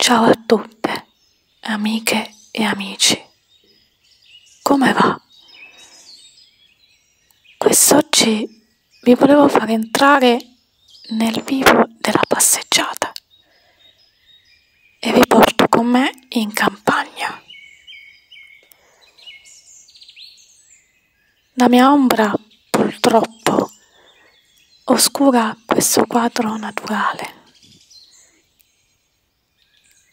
Ciao a tutte, amiche e amici. Come va? Quest'oggi vi volevo far entrare nel vivo della passeggiata e vi porto con me in campagna. La mia ombra, purtroppo, oscura questo quadro naturale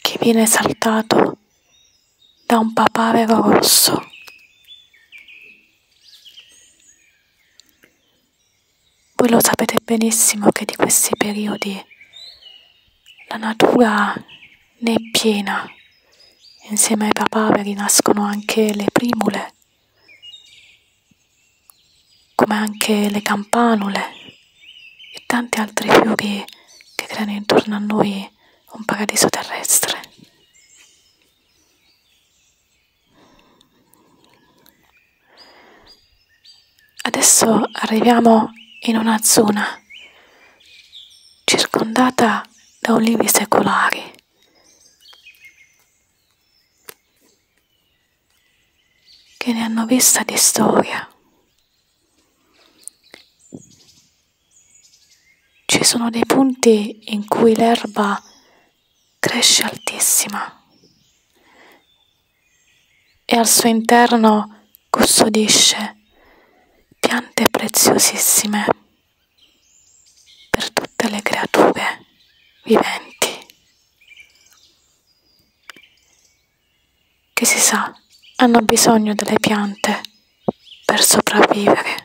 che viene saltato da un papavero rosso. Voi lo sapete benissimo che di questi periodi la natura ne è piena. Insieme ai papaveri nascono anche le primule, come anche le campanule e tanti altri fiori che creano intorno a noi un paradiso terrestre. Adesso arriviamo in una zona circondata da olivi secolari. che ne hanno vista di storia. Ci sono dei punti in cui l'erba cresce altissima e al suo interno custodisce piante preziosissime per tutte le creature viventi che si sa hanno bisogno delle piante per sopravvivere.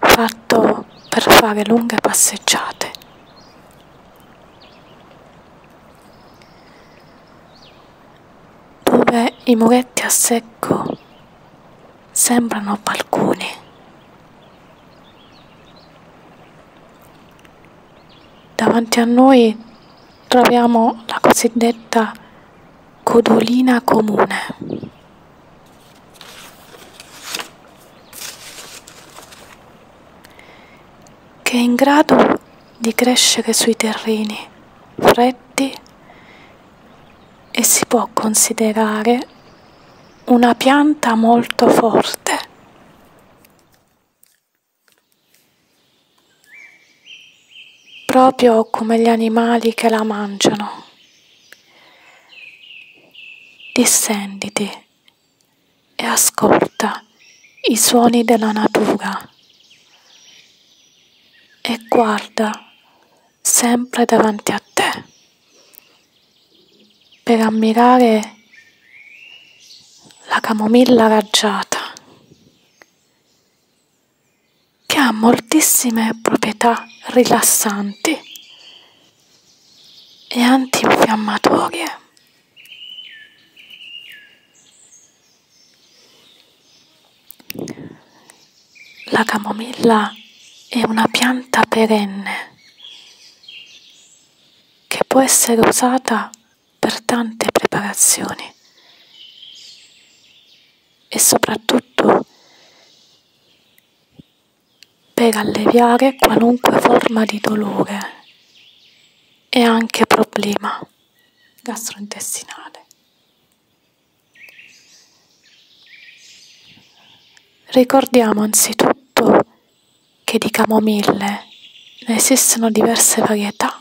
fatto per fare lunghe passeggiate. Dove i muretti a secco sembrano balconi. Davanti a noi troviamo la cosiddetta Codolina comune. che è in grado di crescere sui terreni freddi e si può considerare una pianta molto forte proprio come gli animali che la mangiano. Dissenditi e ascolta i suoni della natura e guarda sempre davanti a te per ammirare la camomilla raggiata che ha moltissime proprietà rilassanti e antinfiammatorie. La camomilla è una pianta perenne che può essere usata per tante preparazioni e soprattutto per alleviare qualunque forma di dolore e anche problema gastrointestinale. Ricordiamo anzitutto che di camomille ne esistono diverse varietà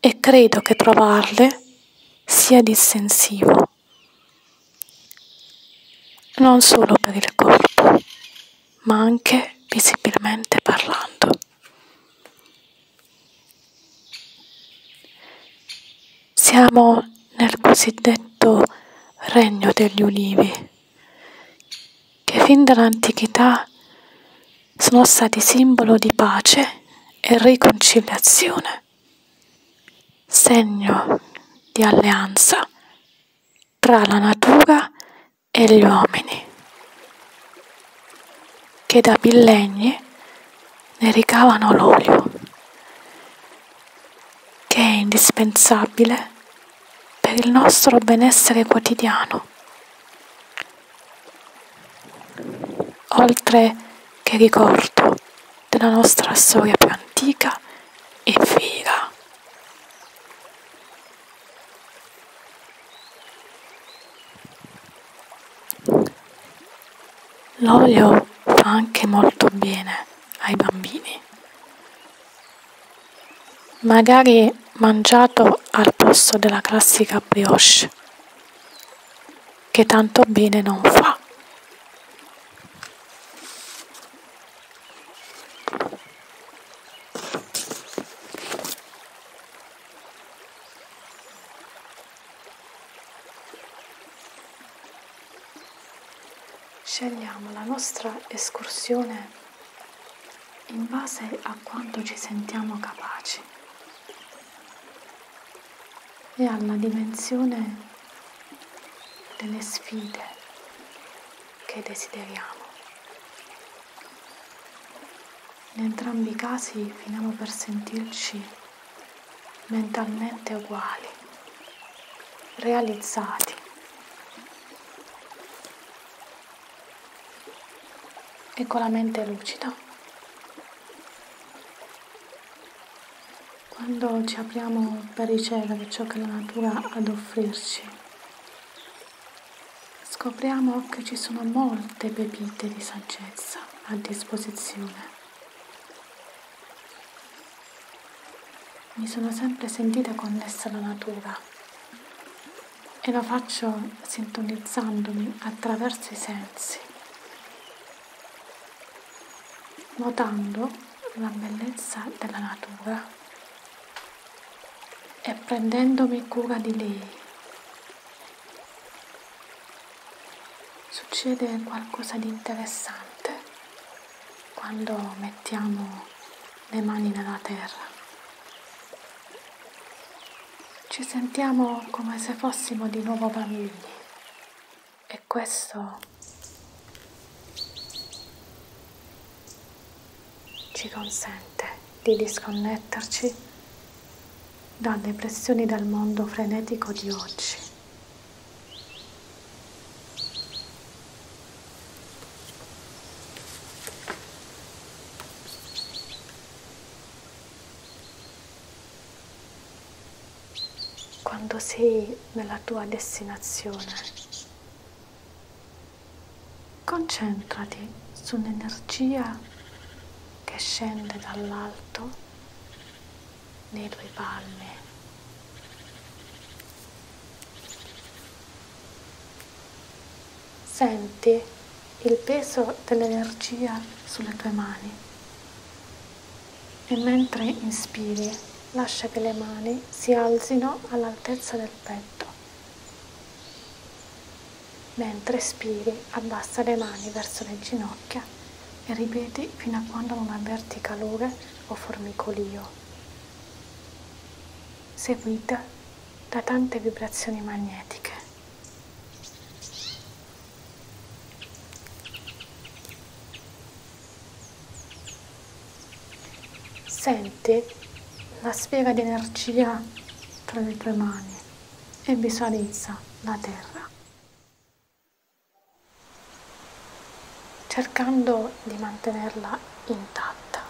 e credo che provarle sia dissensivo, non solo per il corpo, ma anche visibilmente parlando. Siamo nel cosiddetto regno degli ulivi, che fin dall'antichità sono stati simbolo di pace e riconciliazione, segno di alleanza tra la natura e gli uomini, che da millenni ne ricavano l'olio, che è indispensabile per il nostro benessere quotidiano oltre che ricordo della nostra storia più antica e vera. L'olio fa anche molto bene ai bambini. Magari mangiato al posto della classica brioche che tanto bene non fa. Scegliamo la nostra escursione in base a quanto ci sentiamo capaci e alla dimensione delle sfide che desideriamo. In entrambi i casi finiamo per sentirci mentalmente uguali, realizzati. E con la mente lucida quando ci apriamo per ricevere ciò che la natura ha ad offrirci, scopriamo che ci sono molte pepite di saggezza a disposizione. Mi sono sempre sentita connessa alla natura e lo faccio sintonizzandomi attraverso i sensi, notando la bellezza della natura e prendendomi cura di lei. Succede qualcosa di interessante quando mettiamo le mani nella terra ci sentiamo come se fossimo di nuovo bambini e questo ci consente di disconnetterci dalle pressioni del mondo frenetico di oggi. Quando sei nella tua destinazione, concentrati sull'energia che scende dall'alto nei tuoi palmi senti il peso dell'energia sulle tue mani e mentre inspiri lascia che le mani si alzino all'altezza del petto. Mentre espiri abbassa le mani verso le ginocchia e ripeti fino a quando non avverti calore o formicolio. Seguita da tante vibrazioni magnetiche. Sente la sfera di energia tra le tue mani e visualizza la terra. cercando di mantenerla intatta,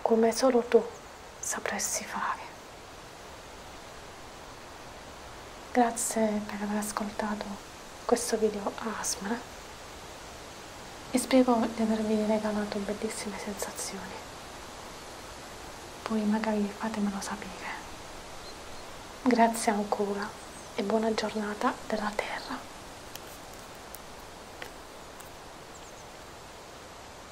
come solo tu sapresti fare. Grazie per aver ascoltato questo video a Asmara e spero di avervi regalato bellissime sensazioni. Poi magari fatemelo sapere. Grazie ancora e buona giornata della Terra.